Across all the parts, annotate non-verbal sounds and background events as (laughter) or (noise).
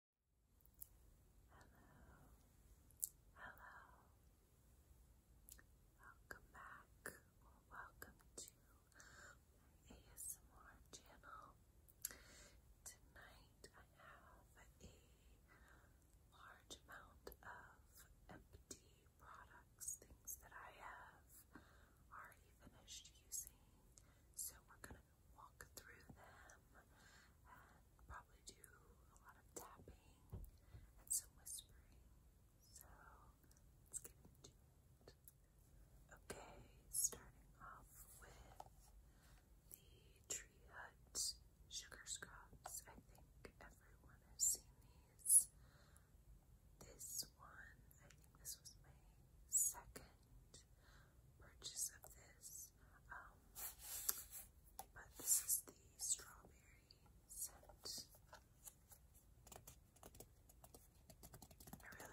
Hello, hello. Welcome back, or welcome to my ASMR channel. Tonight I have a large amount of empty products, things that I have already finished using. So we're going to walk through them probably do a lot of tapping and some whispering. So let's get into it. Okay, starting off with the Tree Hut sugar scrubs. I think everyone has seen these. This one, I think this was my second purchase of this. Um, but this is the strawberry scent. I really like these.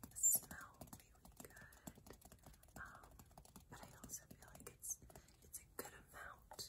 They smell really good. Um, but I also feel like it's it's a good amount.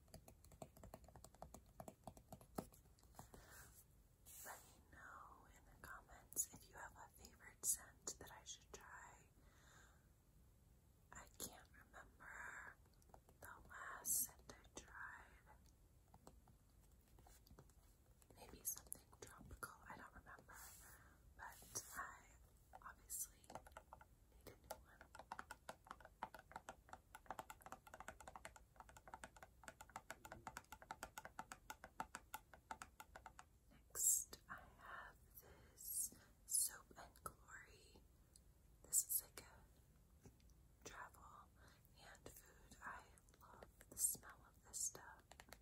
Let me know in the comments if you have a favorite scent that I should try. I can't remember the last scent I tried. Maybe something tropical, I don't remember. But I obviously need a new one. Next, I have this Soap and Glory. This is like a travel and food. I love the smell of this stuff. And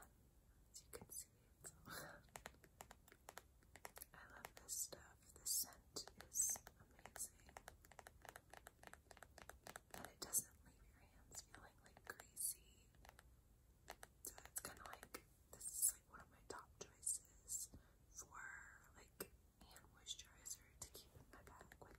as you can see, (laughs) I love this stuff. The scent is amazing. And it doesn't leave your hands feeling like greasy. So it's kind of like this is like one of my top choices for like hand moisturizer to keep my bag with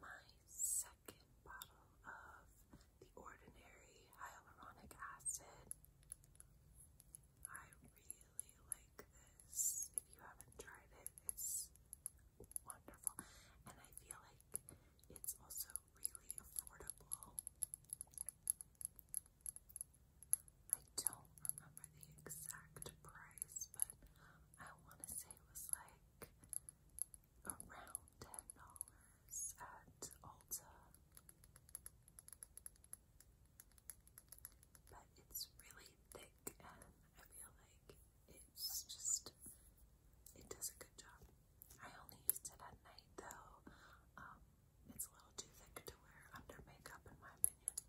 my second bottle of the Ordinary Hyaluronic Acid. I really like this. If you haven't tried it, it's wonderful. And I feel like it's also really affordable. I don't remember the exact price, but I want to say it was like around ten dollars at Ulta, but it's really thick, and I feel like it's just it does a good job. I only used it at night though. Um, it's a little too thick to wear under makeup, in my opinion.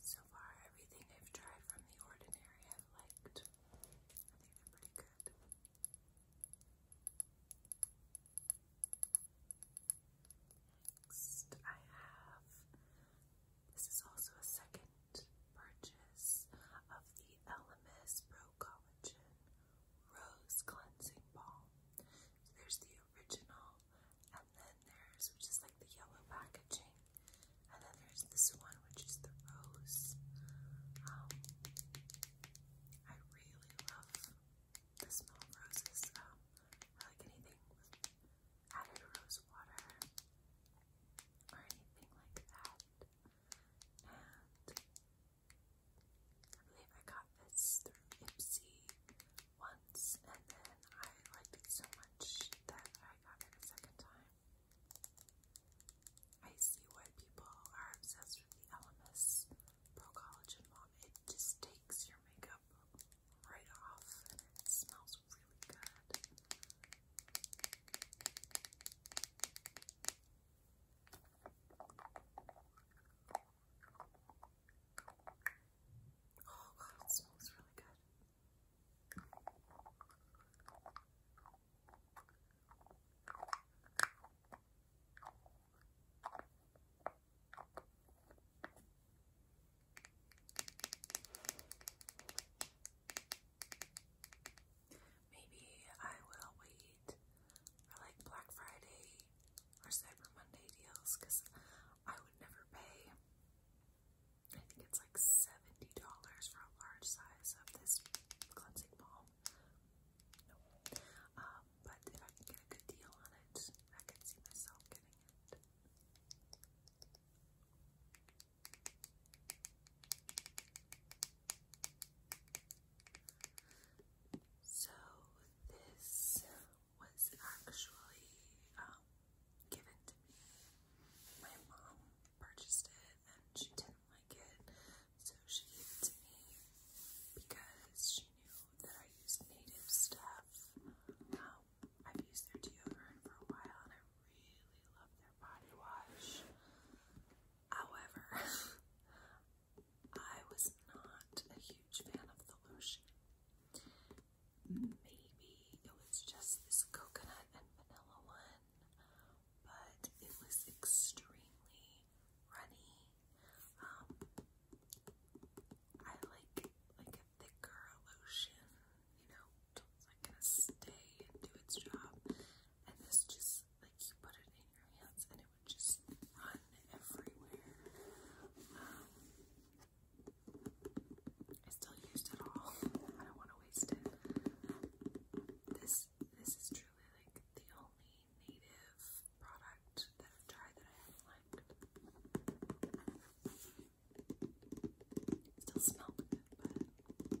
So far, everything I've tried from The Ordinary I've liked. I think they're pretty good. Next, I have this is also a second purchase of the LMS Pro Collagen Rose Cleansing Balm. there's the original and then there's which is like the yellow packaging, and then there's this one which is the rose. Um, I really love the smell of roses. Um, I like anything with rose water or anything like that. And I believe I got this through Ipsy once, and then I liked it so much that I got it a second time. I see why people are obsessed with the LMS Pro Collagen Balm. It just takes your makeup right off, it smells really good. Oh god, it smells really good. Maybe I will wait for like Black Friday or Cyber Monday deals because I would never pay I think it's like $70 for a large size of this cleansing ball. Um, but if I can get a good deal on it, I can see myself getting it. So, this was actually um, given to me. My mom purchased it and she didn't like it, so she gave it to me because she knew that I used native stuff. Um, I've used their deodorant for a while and I really love their body wash. However, (laughs) I was not a huge fan of the lotion maybe it was just this coconut and vanilla one, but it was extremely runny. Um, I like like a thicker lotion, you know, it's gonna stay and do its job. And this just like you put it in your hands and it would just run everywhere. Um, I still used it all. (laughs) I don't want to waste it. This this is truly like the only native product that I've tried that I haven't liked. still smells good, but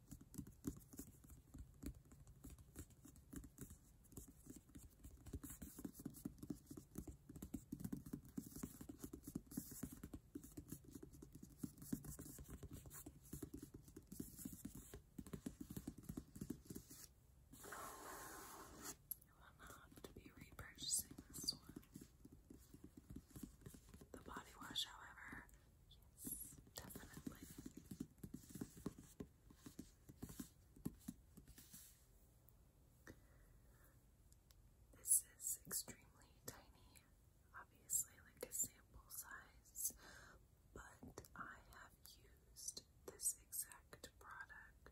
will not be repurchasing this one. The body wash, however, Yes, definitely. This is extremely tiny, obviously, like a sample size, but I have used this exact product,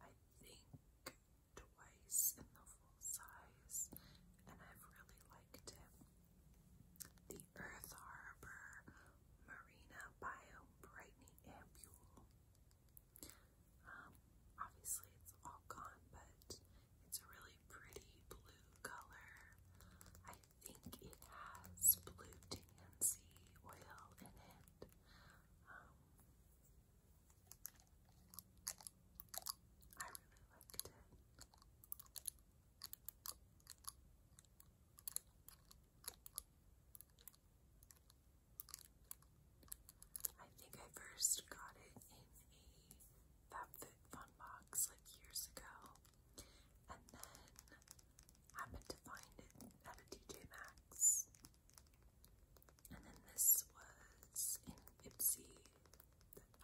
I think, twice in the full size, and I've really liked it. The Earth Harbor Marina Biome Brightney Ampule. Um, obviously it's all gone, but it's a really pretty blue color. I think it has blue DMC oil in it. Um, I really liked it. I think I first got it in a FabFitFun box like years ago, and then happened to find it at a DJ Max. And then this was in Ipsy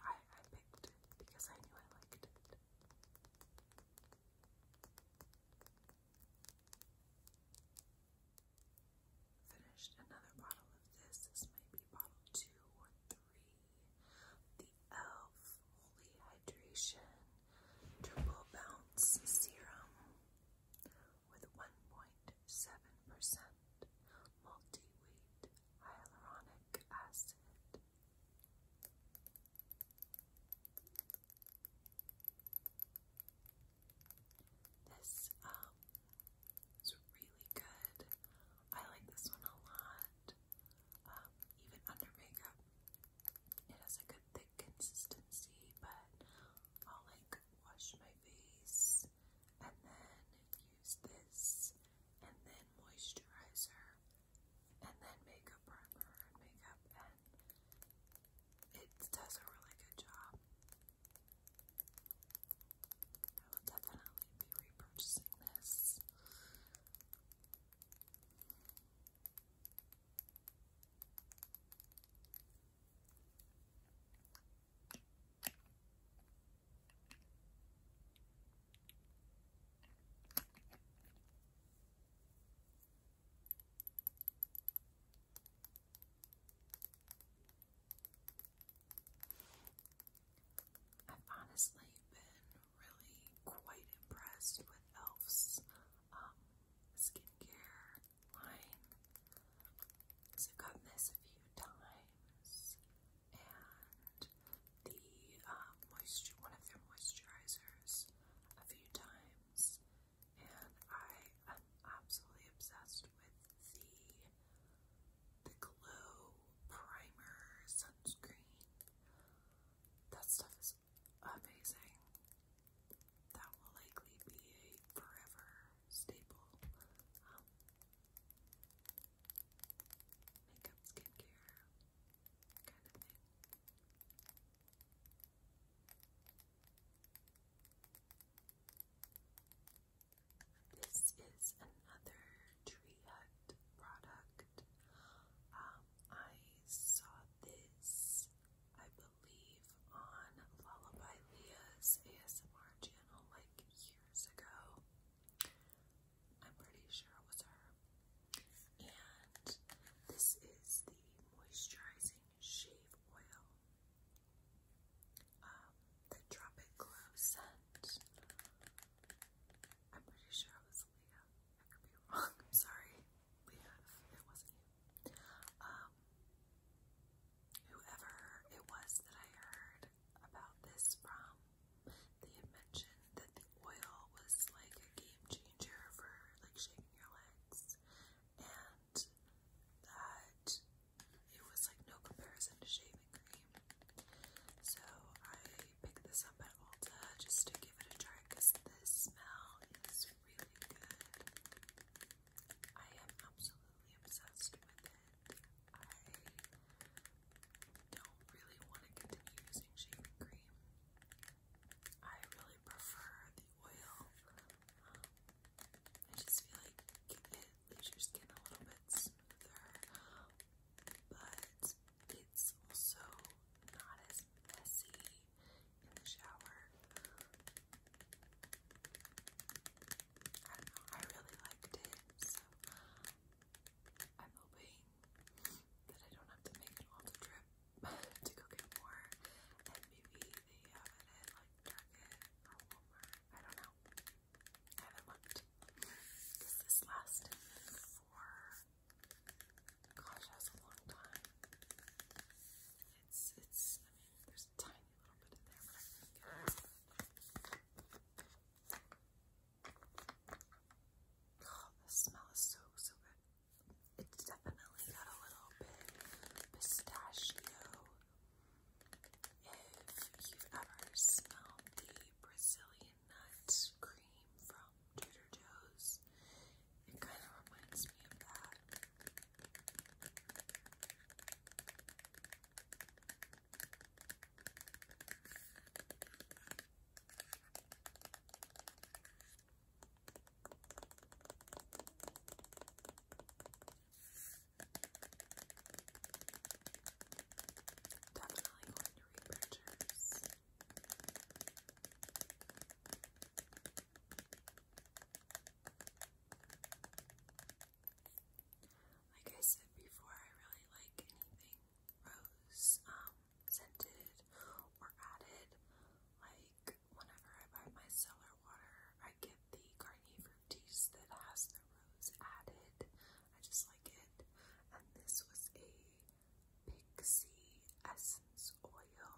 I, I picked because I knew I liked it. Finished another bottle of this. This might be bottle two or three. The ELF Hydration Triple Bounce Serum with 1.7% multi-weight hyaluronic acid. This um is really good. I like this one a lot. Um, even under makeup, it has a good thick consistency, but I'll like wash my face and then use this and then moisturizer and then makeup primer and makeup, and it does a really good job. I will definitely be repurchasing this. I've honestly been really quite impressed with Elf's um, skincare line. So I've gotten this a few times, and the uh, moisture, one of their moisturizers a few times, and I am absolutely obsessed with the the glow primer sunscreen. That stuff is amazing. That will likely be a forever staple. Um, makeup, skincare, kind of This is another Tree product. Um, I saw this, I believe, on Lullaby Leah's ASMR channel like years ago. I'm pretty sure it was her. And this is the moisturizing shave oil. Um, the Drop Glow scent. I'm pretty sure it was Leah. I could be wrong. sorry, Leah, it wasn't you. Um, whoever it was that I heard about this from, they mentioned that the oil was like a game changer for like shaking your legs, and that it was like no comparison to shaving cream. So I picked this up at Ulta just to give it a try because smell is really good. I am absolutely obsessed with it don't really want to continue using shaving cream. I really prefer the oil. Um, I just feel like it leaves your skin a little bit smoother, but it's also not as messy in the shower. I really liked it, so I'm hoping that I don't have to make an all the trip (sighs) to go get more, maybe they have it at like Target or Walmart. I don't know. I haven't looked. Because this lasted for, gosh, that's a long time. It's, it's, there's a tiny little bit in there, but the smell is so, so good. It's definitely got a little bit pistachio. If you've ever smelled the Brazilian nuts cream from Trader Joe's, it kind of reminds me of that. Definitely going to repurchase. Like I said before, I really like anything rose. Um, scented or added. Like whenever I buy my cellar water, I get the Garnier Fructis that has the rose added. I just like it. And this was a Pixie Essence Oil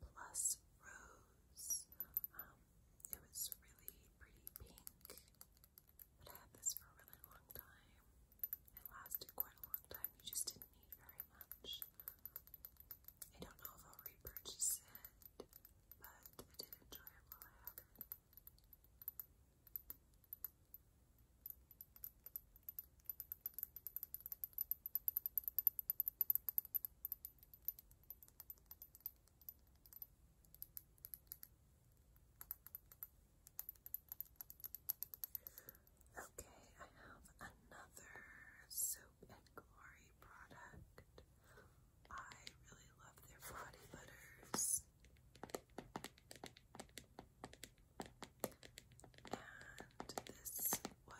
plus Rose. Um, it was really pretty pink, but I had this for a really long time. It lasted quite a long time. You just didn't need very much. I don't know if I'll repurchase it, but I did enjoy it while I had it. Okay, I have another Soap and Glory product. I really love their body butters. And this was a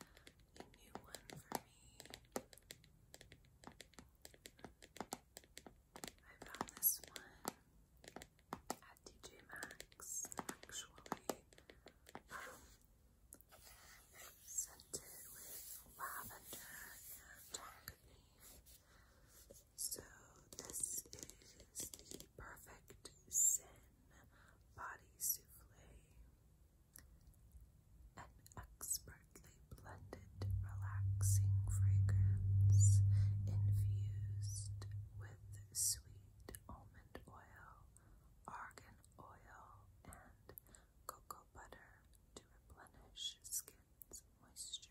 new one for me. I found this one at Maxx actually um, scented with lavender and chocolate. So this is the Perfect Sin Body Souffle. An expertly blended, relaxing fragrance infused with sweet almond oil, argan oil, and cocoa butter to replenish skin's moisture.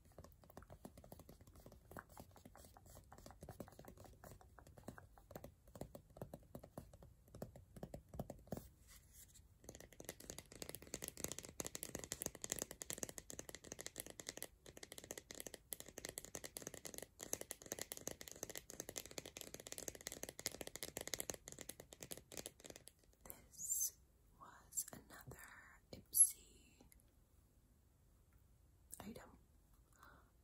This was another Ipsy item.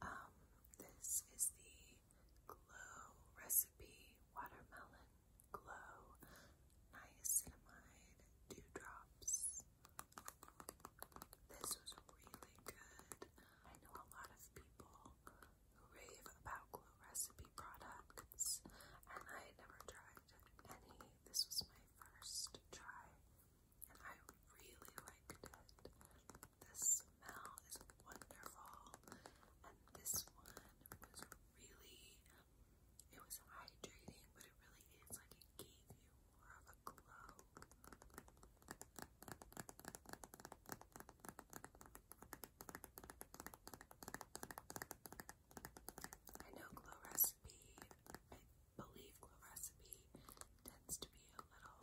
Um, this is the Glow Recipe Watermelon Glow Niacinamide Dewdrops. This was really good. I know a lot of people who rave about Glow Recipe products, and I had never tried any. This was my first try and I really liked it. The smell is wonderful, and this one was really, it was hydrating, but it really is like it gave you more of a glow. I know Glow Rest I believe Glow Recipe tends to be a little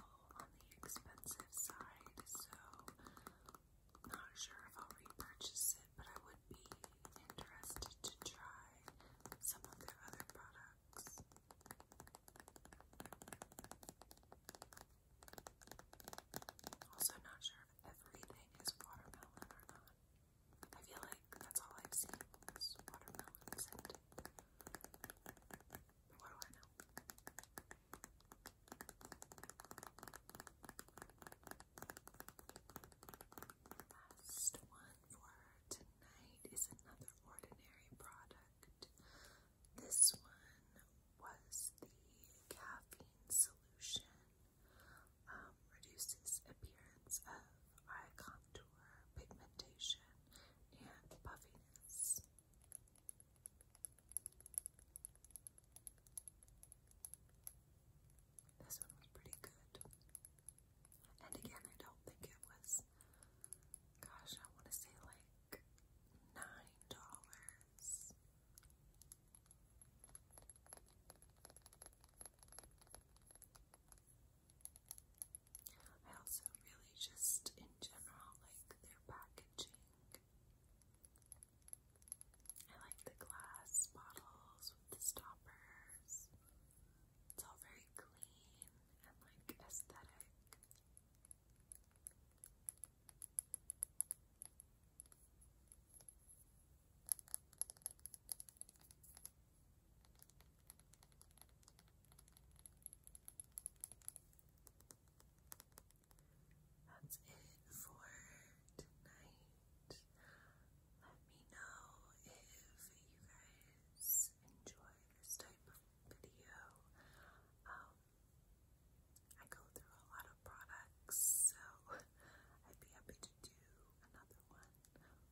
on the expensive side, so not sure if I'll repurchase it, but I would be interested to try some of their other products. Also, not sure if everything is watermelon or not. I feel like that's all I've seen what do I know? Last one for tonight is another ordinary product. This one was the caffeine solution. Um, reduces appearance of eye contour, pigmentation, and puffiness. This one was pretty good. And again, I don't think it was, gosh, I want to say like $9. I also really just, in general, like their packaging. I like the glass bottles with the stoppers. It's all very clean and like aesthetic. That's it for tonight. Let me know if you guys enjoy this type of video. Um, I go through a lot of products, so (laughs) I'd be happy to do another one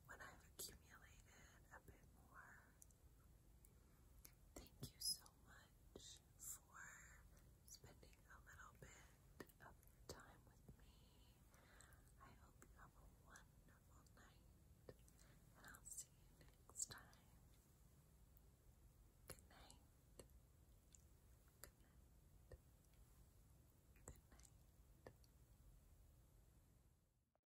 when I've accumulated a bit more Thank you so much for spending a little bit of time with me. I hope you have a wonderful night, and I'll see you next time. Good night. Good night. Good night.